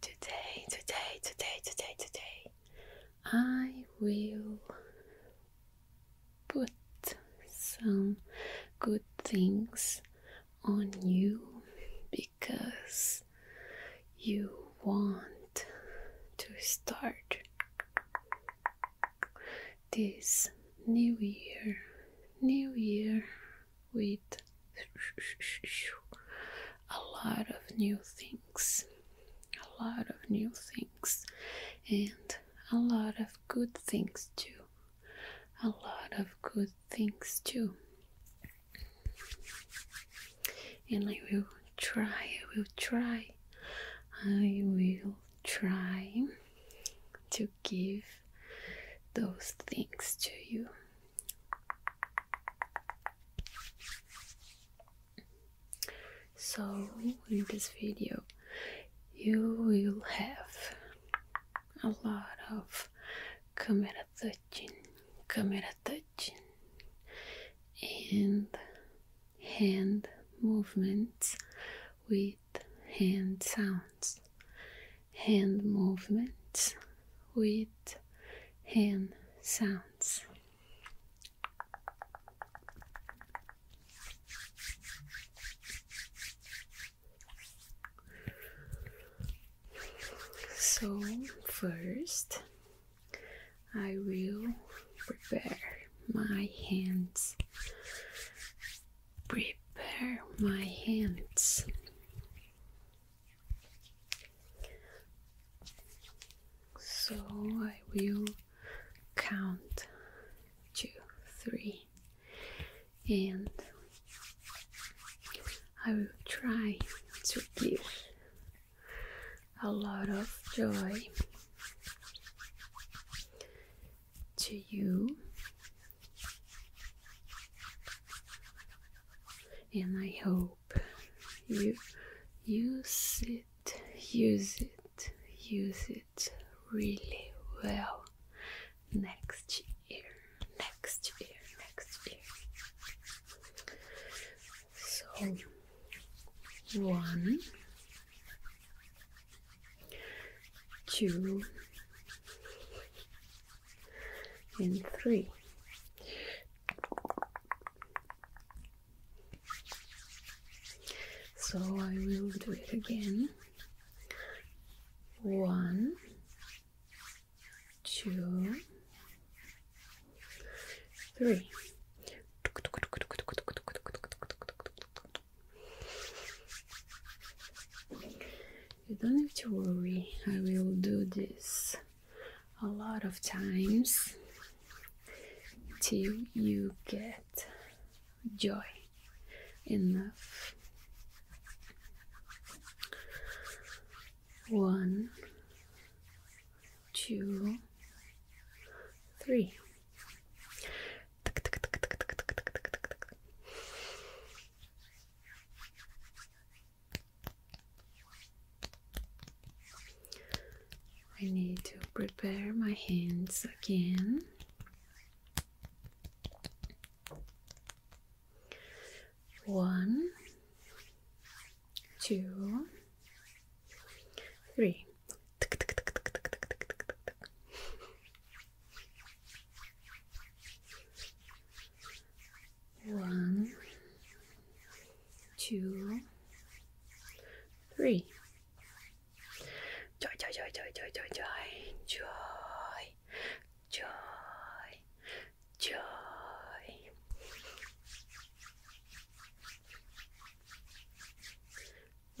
Today, today, today, today, today, I will put some good things on you because you want to start this new year, new year with a lot of new things, a lot of new things, and a lot of good things too. A lot of good things too. And I will try, I will try, I will try to give those things to you. So, in this video, you will have a lot of camera touching, camera touching, and hand movements with hand sounds, hand movements with hand sounds. So, first, I will prepare my hands prepare my hands. So I will count two, three, and I will try to give a lot of joy to you. And I hope you use it, use it, use it really well next year, next year, next year. So, one, two, and three. So I will do it again. One, two, three. You don't have to worry, I will do this a lot of times till you get joy enough. One, two, three. I need to prepare my hands again. One, two, three. One, two, three. Joy, joy, joy, joy, joy, joy, joy, joy, joy,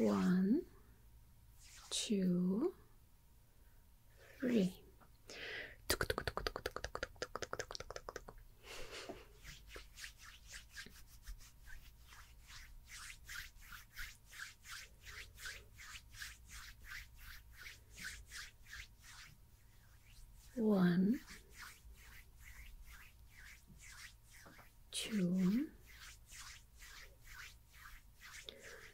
One, two, three. One, two,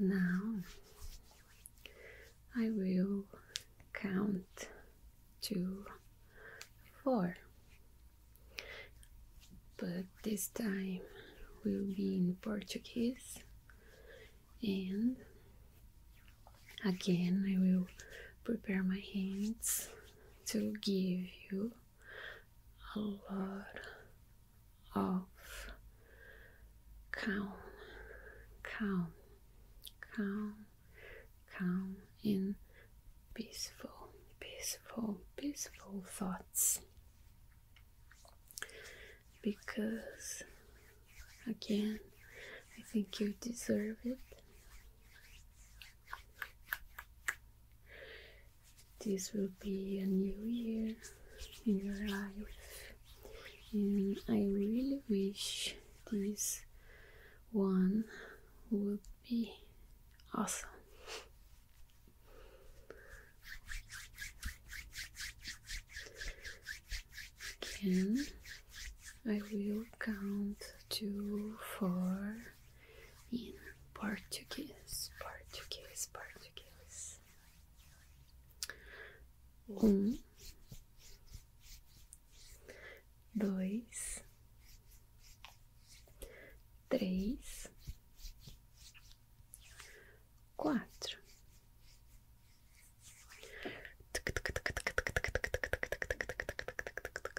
Now I will count to four, but this time we will be in Portuguese, and again I will prepare my hands to give you a lot of calm, calm, calm, calm, in peaceful, peaceful, peaceful thoughts. Because again, I think you deserve it. This will be a new year in your life, and I really wish this one would be awesome. Again, I will count two, four in Portuguese, Portuguese, Portuguese. Um, dois, três, quatro.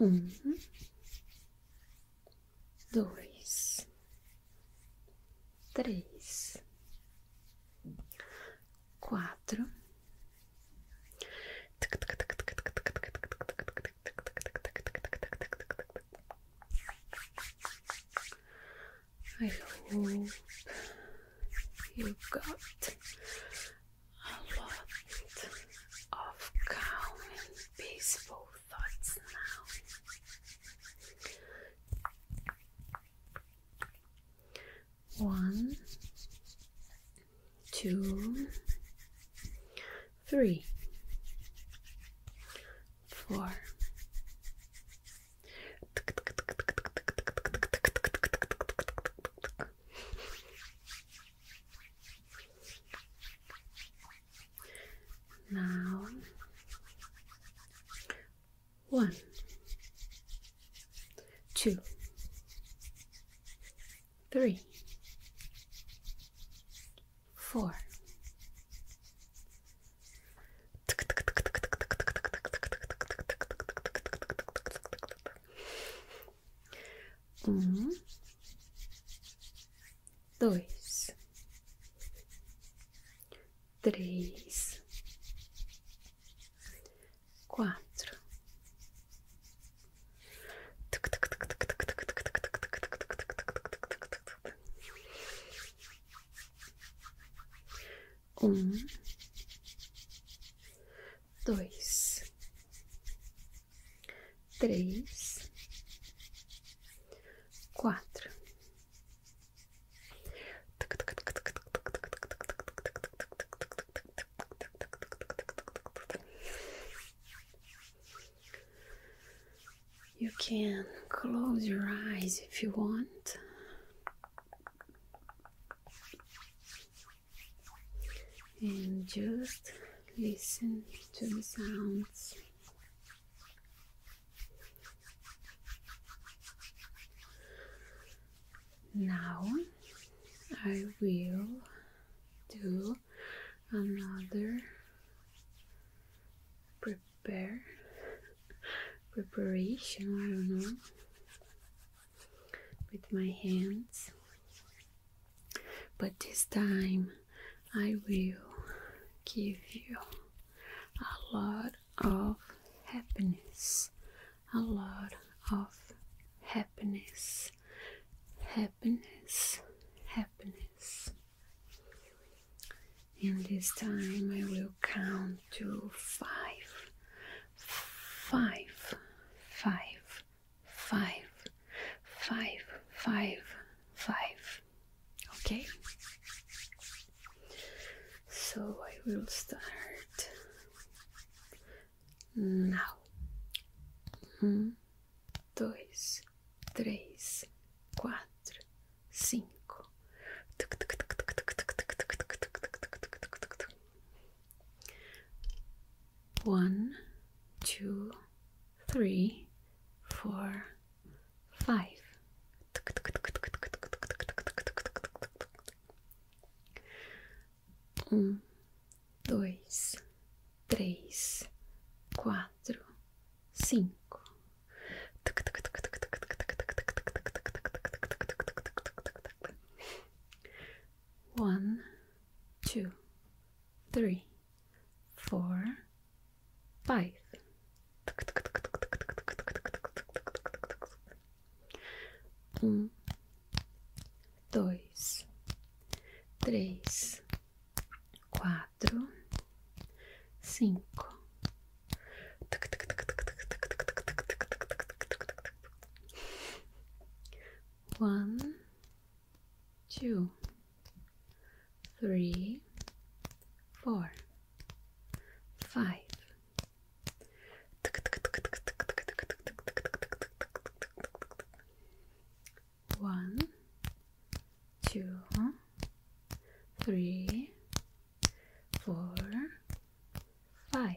um, dois, três, quatro. I hope you got a lot of calm and peaceful thoughts now. One, two, three, four. Now, one, two, three, four. Um, dois, três, quatro. Um, dois, Three, four. You can close your eyes if you want and just listen to the sounds. Now I will do another prepare preparation, I don't know with my hands, but this time I will give you a lot of happiness, a lot of happiness, happiness, happiness. And this time I will count to five, five, five five, five, five, five. Okay, so I will start now. Um, dois, três, quatro, cinco one, two, three, four, five. Um, dois, três, quatro, cinco. One, two, three, four, five. Um, dois, três, quatro, cinco. One, two, three, four, five. One, two, three, four, five.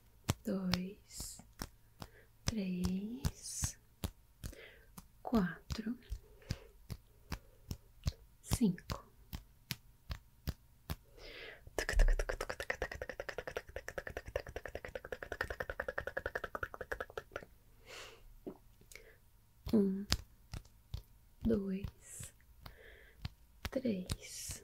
dois, três, quatro, cinco. Um, dois, três,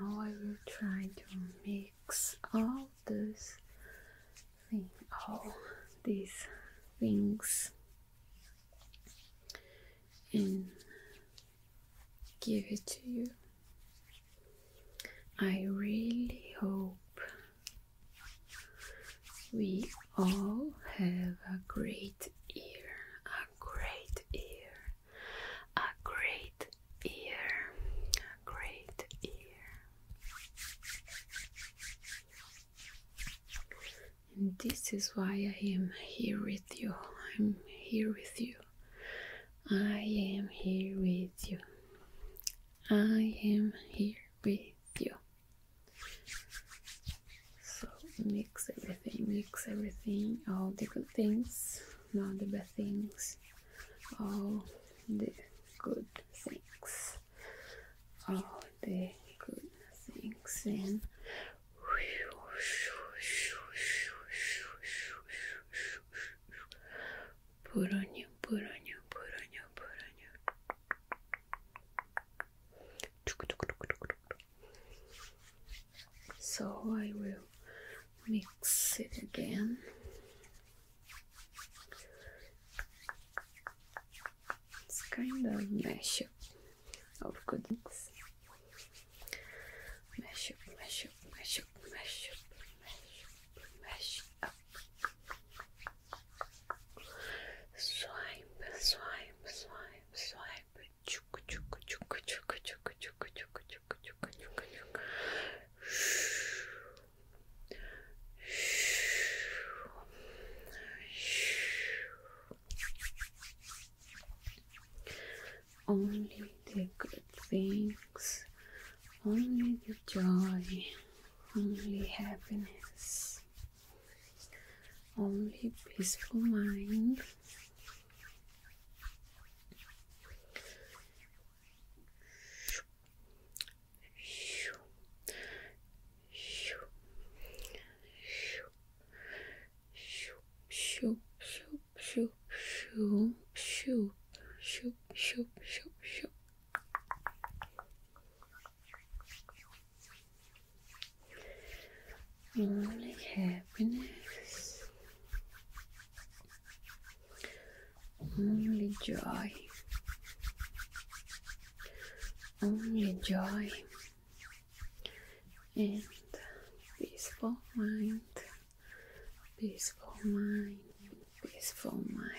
Now I will try to make all those thing, all these things and give it to you. I really hope we all have a great year, a great year, a great ear, great ear. this is why I am here with you. I'm here with you. I am here with you. I am here with you. So mix everything, mix everything, all the good things, not the bad things, all the good things, all the good things, and put on you, put on you, put on you, put on you. So I will mix it again. It's kind of mashup of good things. Mash up, oh, mash up, mash up, mash up, mash up, mash up. Swipe, swipe, swipe, swipe. Chook, chook, chook, chook, chook, chook, chook, only the good things, only the joy, only happiness, only peaceful mind shoo shoo shoo shoo shoo shoo shoo shoo Rolling happiness only joy. Only joy and peaceful mind, peaceful mind, peaceful mind.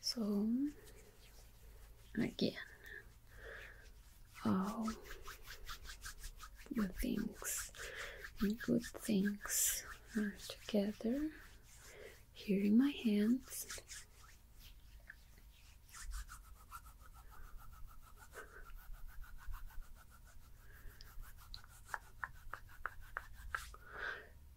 So again, all the things and good things are together here in my hands.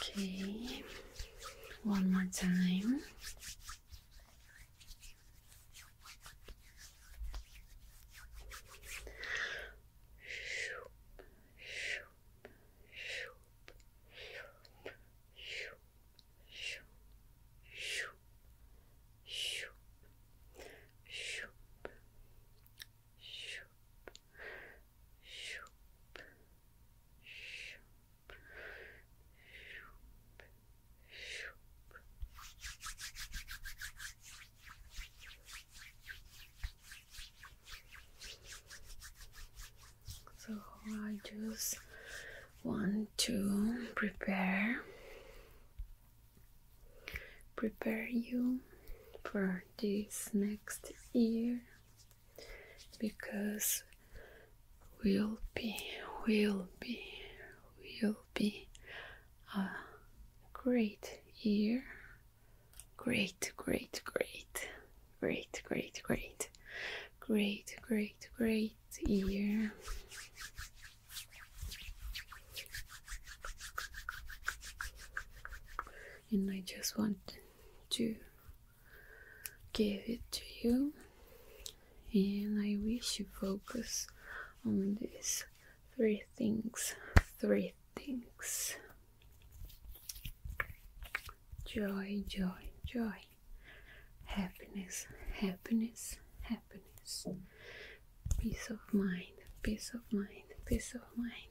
Okay, one more time. So I just want to prepare prepare you for this next year because we'll be, will be, will be a great year. Great, great, great, great, great, great, great, great, great year. And I just want to give it to you and I wish you focus on these three things three things joy joy joy happiness happiness happiness peace of mind peace of mind peace of mind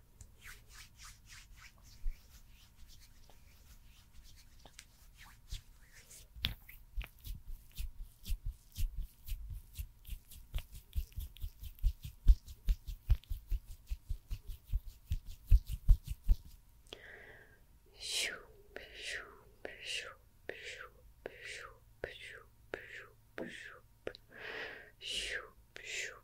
Shoop, shoop,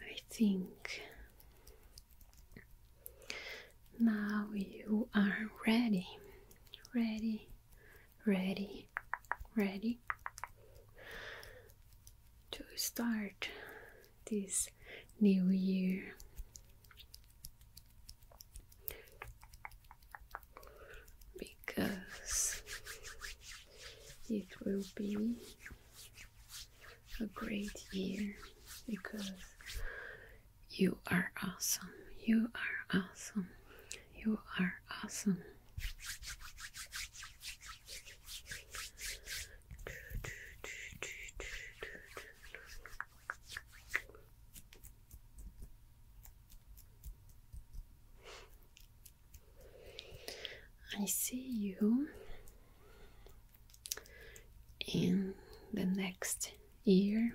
I think now you are ready, ready, ready, ready to start this new year. Because it will be a great year because you are awesome, you are awesome, you are awesome. I see you in the next year.